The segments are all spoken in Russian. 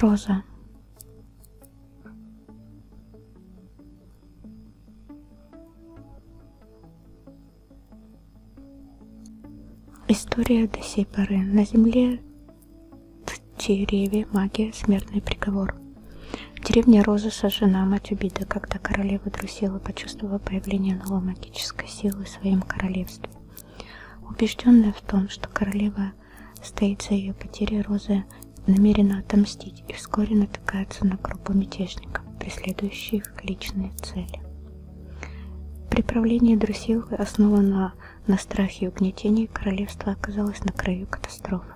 Роза. История до сей поры. На земле в Череве магия, смертный приговор. Деревня Розы сожжена мать убита, когда королева Друсила почувствовала появление новой магической силы в своем королевстве. Убежденная в том, что королева стоит за ее потерей, Роза намерена отомстить и вскоре натыкается на группу мятежников, преследующих личные цели. Приправление Друсилы, основано на страхе и угнетении, королевство оказалось на краю катастрофы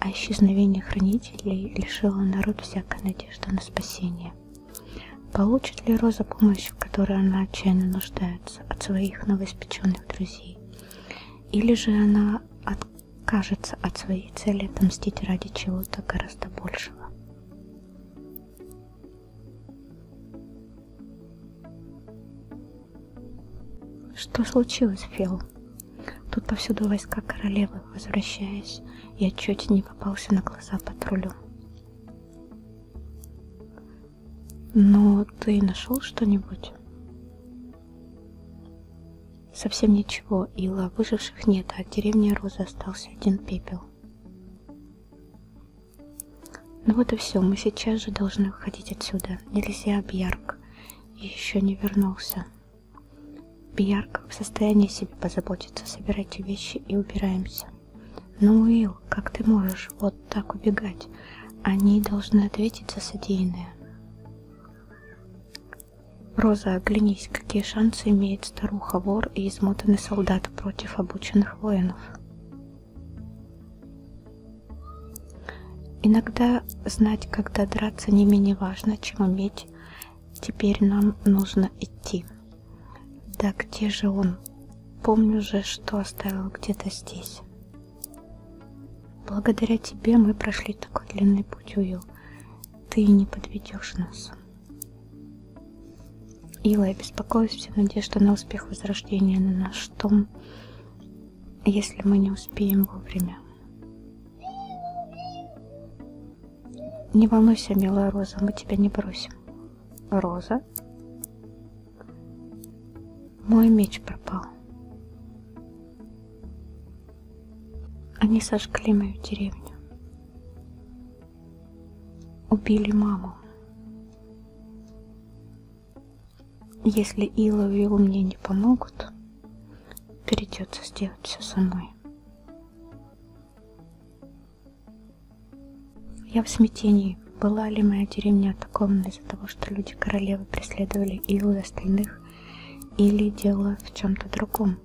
а исчезновение хранителей лишило народ всякой надежды на спасение. Получит ли Роза помощь, в которой она отчаянно нуждается, от своих новоиспеченных друзей? Или же она откажется от своей цели отомстить ради чего-то гораздо большего? Что случилось, Фил? Тут повсюду войска королевы, возвращаясь, я чуть не попался на глаза патрулю. Но ну, ты нашел что-нибудь? Совсем ничего, Ила, выживших нет, а от деревни Розы остался один пепел. Ну вот и все, мы сейчас же должны уходить отсюда. Нельзя, Бьярк еще не вернулся. Пиярка в состоянии себе позаботиться. Собирайте вещи и убираемся. Ну, Уилл, как ты можешь вот так убегать? Они должны ответить за содеянное. Роза, оглянись, какие шансы имеет старуха вор и измотанный солдат против обученных воинов. Иногда знать, когда драться, не менее важно, чем уметь. Теперь нам нужно идти. Да где же он? Помню же, что оставил где-то здесь. Благодаря тебе мы прошли такой длинный путь, Уилл. Ты не подведешь нас. Ила, я беспокоюсь, вся надежда на успех возрождения на наш том, если мы не успеем вовремя. Не волнуйся, милая Роза, мы тебя не бросим. Роза? Мой меч пропал. Они сожгли мою деревню. Убили маму если Ила и Вил мне не помогут, придется сделать все самой. Я в смятении, была ли моя деревня атакована из-за того, что люди королевы преследовали Илу и остальных, или дело в чем-то другом.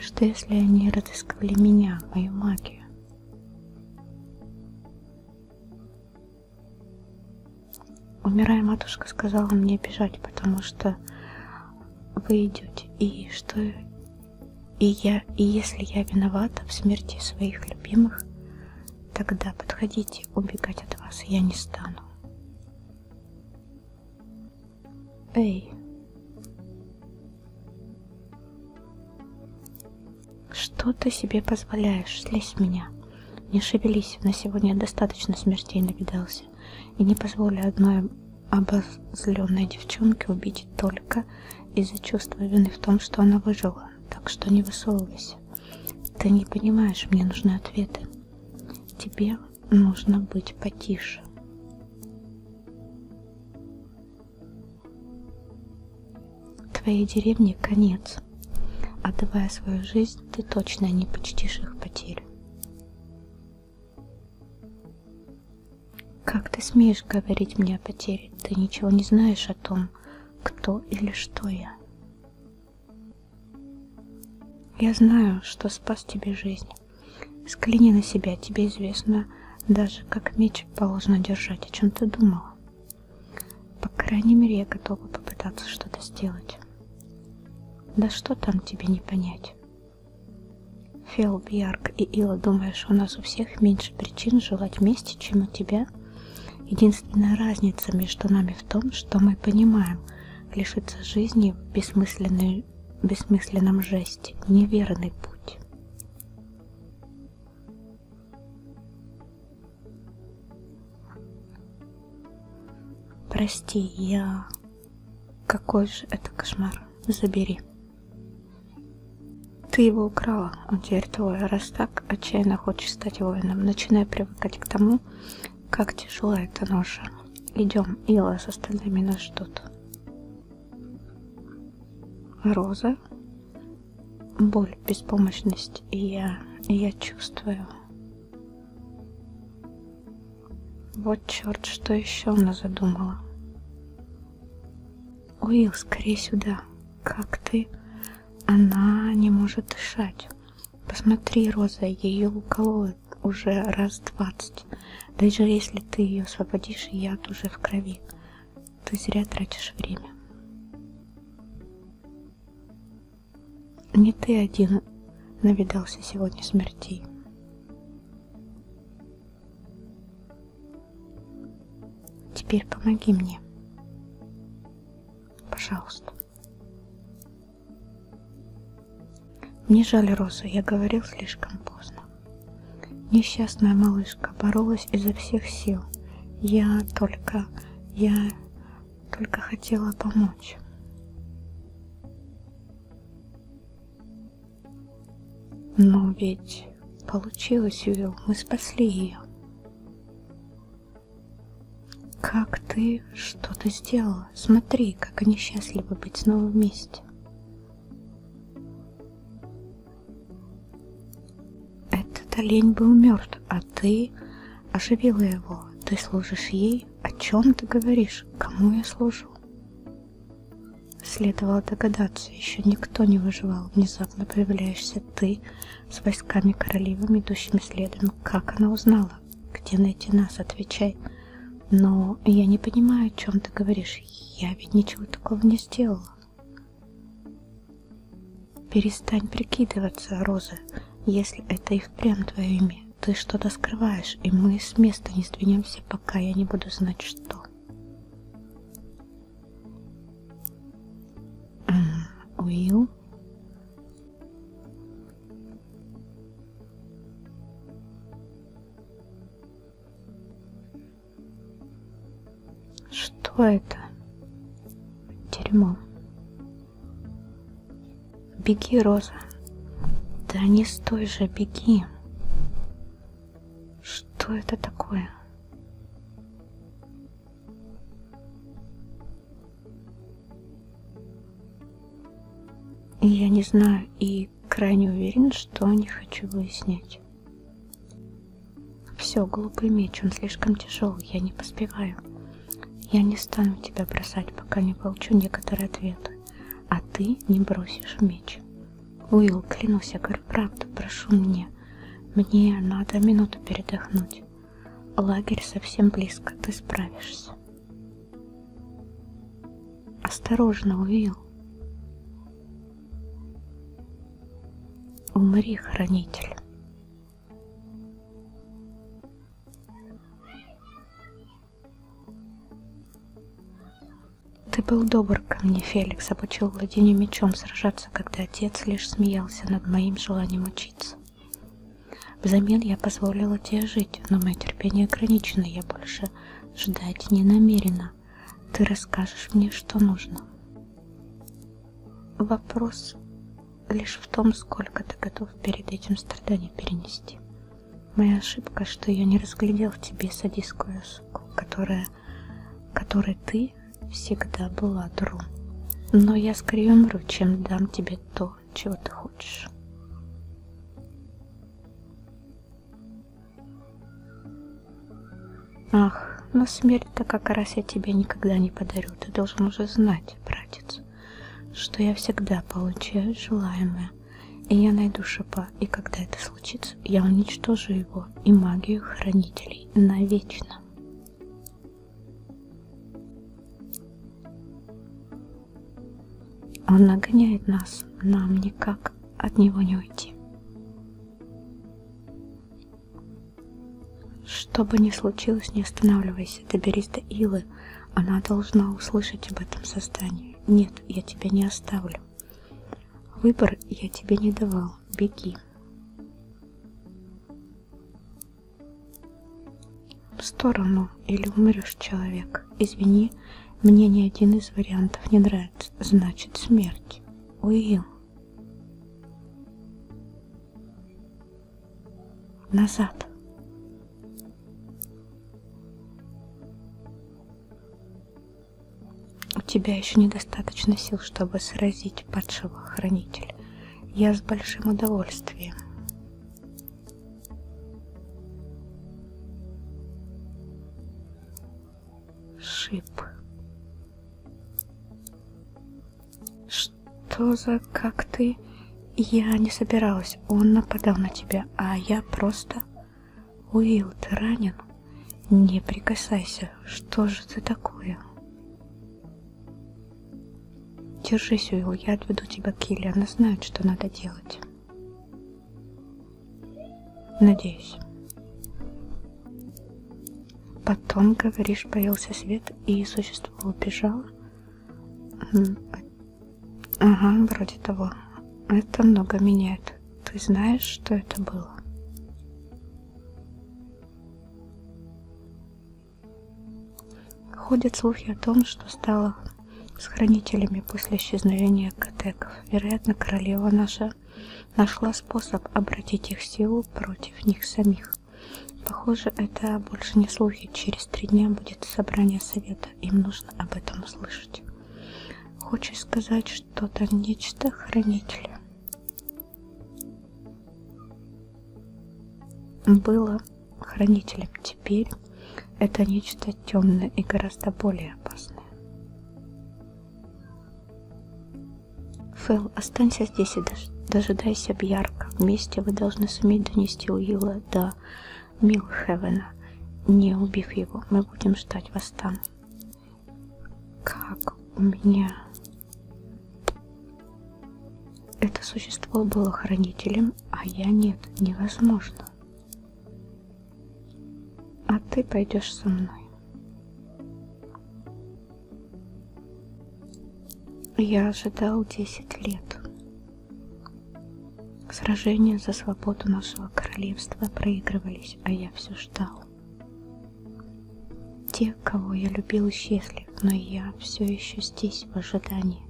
Что если они разыскивали меня, мою магию? Умирая, матушка сказала мне бежать, потому что вы идете. И что и я, и если я виновата в смерти своих любимых, тогда подходите, убегать от вас я не стану. Эй. Что ты себе позволяешь? Слезь меня. Не шевелись, на сегодня достаточно смертей навидался улыбнулся. И не позволю одной обозленной девчонке убить только из-за чувства вины в том, что она выжила. Так что не высовывайся. Ты не понимаешь, мне нужны ответы. Тебе нужно быть потише. Твоей деревне конец. Отдавая свою жизнь, ты точно не почтишь их потерю. Как ты смеешь говорить мне о потере? Ты ничего не знаешь о том, кто или что я. Я знаю, что спас тебе жизнь. Скляни на себя, тебе известно даже, как меч положено держать, о чем ты думала. По крайней мере, я готова попытаться что-то сделать. Да что там тебе не понять? Фел, Бьярк и Ила, думаешь, у нас у всех меньше причин желать мести, чем у тебя? Единственная разница между нами в том, что мы понимаем, лишиться жизни в бессмысленной, бессмысленном жесте, неверный путь. Прости, я... Какой же это кошмар. Забери. Ты его украла, он теперь твой. Раз так, отчаянно хочешь стать воином. Начинай привыкать к тому, как тяжела эта ноша. Идем, Ила с остальными нас ждут. Роза. Боль, беспомощность. И я... Я чувствую. Вот черт, что еще она задумала. Уилл, скорее сюда. Как ты? Она не может дышать. Посмотри, Роза, ее укололо уже раз двадцать. Даже если ты ее освободишь, яд уже в крови. Ты зря тратишь время. Не ты один навидался сегодня смертей. Теперь помоги мне. Пожалуйста. Мне жаль Розу, я говорил слишком поздно. Несчастная малышка боролась изо всех сил. Я только... Я только хотела помочь. Но ведь получилось, Юрил, мы спасли ее. Как ты что-то сделала? Смотри, как они счастливы быть снова вместе. Этот олень был мертв, а ты оживила его. Ты служишь ей? О чем ты говоришь? Кому я служу? Следовало догадаться, еще никто не выживал. Внезапно появляешься ты с войсками королевы, идущими следом. Как она узнала? Где найти нас? Отвечай. Но я не понимаю, о чем ты говоришь. Я ведь ничего такого не сделала. Перестань прикидываться, Роза. Если это и впрямь твое имя, ты что-то скрываешь, и мы с места не сдвинемся, пока я не буду знать, что. Уилл? Что это? Дерьмо. Беги, Роза. Да не стой же, беги. Что это такое? Я не знаю и крайне уверен, что не хочу выяснять. Все, голубой меч, он слишком тяжел, я не поспеваю. Я не стану тебя бросать, пока не получу некоторые ответы, а ты не бросишь меч. Уилл, клянусь, я говорю правду, прошу мне. Мне надо минуту передохнуть. Лагерь совсем близко, ты справишься. Осторожно, Уилл. Умри, хранитель. Ты был добр ко мне, Феликс, обучил владению мечом сражаться, когда отец лишь смеялся над моим желанием учиться. Взамен я позволила тебе жить, но мое терпение ограничено, я больше ждать не намерена. Ты расскажешь мне, что нужно. Вопрос лишь в том, сколько ты готов перед этим страданий перенести. Моя ошибка, что я не разглядел в тебе садистскую суку, которая, которой ты всегда была друг. Но я скорее умру, чем дам тебе то, чего ты хочешь. Ах, но смерть-то как раз я тебе никогда не подарю, ты должен уже знать, братец что я всегда получаю желаемое, и я найду шипа, и когда это случится, я уничтожу его и магию хранителей навечно. Он нагоняет нас, нам никак от него не уйти. Что бы ни случилось, не останавливайся. Постарайся, доберись до Илы. Она должна услышать об этом создании. Нет, я тебя не оставлю. Выбор я тебе не давал. Беги. В сторону или умрешь, человек. Извини, мне ни один из вариантов не нравится. Значит, смерть. Уилл назад. У тебя еще недостаточно сил, чтобы сразить падшего хранителя. Я с большим удовольствием. Шип что за как ты? Я не собиралась, он нападал на тебя, а я просто... Уилл, ты ранен? Не прикасайся, что же ты такое? Держись, Уилл, я отведу тебя к Килле, она знает, что надо делать. Надеюсь. Потом, говоришь, появился свет, и существо убежало. Ага, вроде того. Это много меняет. Ты знаешь, что это было? Ходят слухи о том, что стало с хранителями после исчезновения катеков. Вероятно, королева наша нашла способ обратить их силу против них самих. Похоже, это больше не слухи. Через три дня будет собрание совета. Им нужно об этом услышать. Хочешь сказать что-то нечто хранителя? Было хранителем. Теперь это нечто темное и гораздо более опасное. Фэл, останься здесь и дождайся Бьярка. Вместе вы должны суметь донести Уилла до Милхевена. Не убив его, мы будем ждать вас там. Как у меня... Это существо было хранителем, а я нет, невозможно. А ты пойдешь со мной. Я ожидал 10 лет. Сражения за свободу нашего королевства проигрывались, а я все ждал. Те, кого я любил, исчезли, но я все еще здесь в ожидании.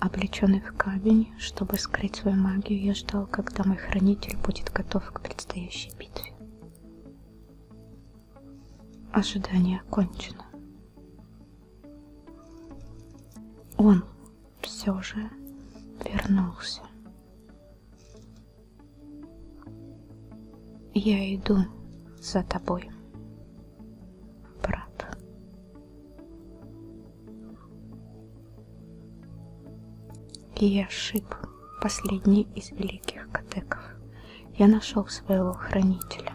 Облеченный в камень, чтобы скрыть свою магию, я ждал, когда мой хранитель будет готов к предстоящей битве. Ожидание окончено. Он все же вернулся. Я иду за тобой, брат. Я шип последний из великих катеков. Я нашел своего хранителя.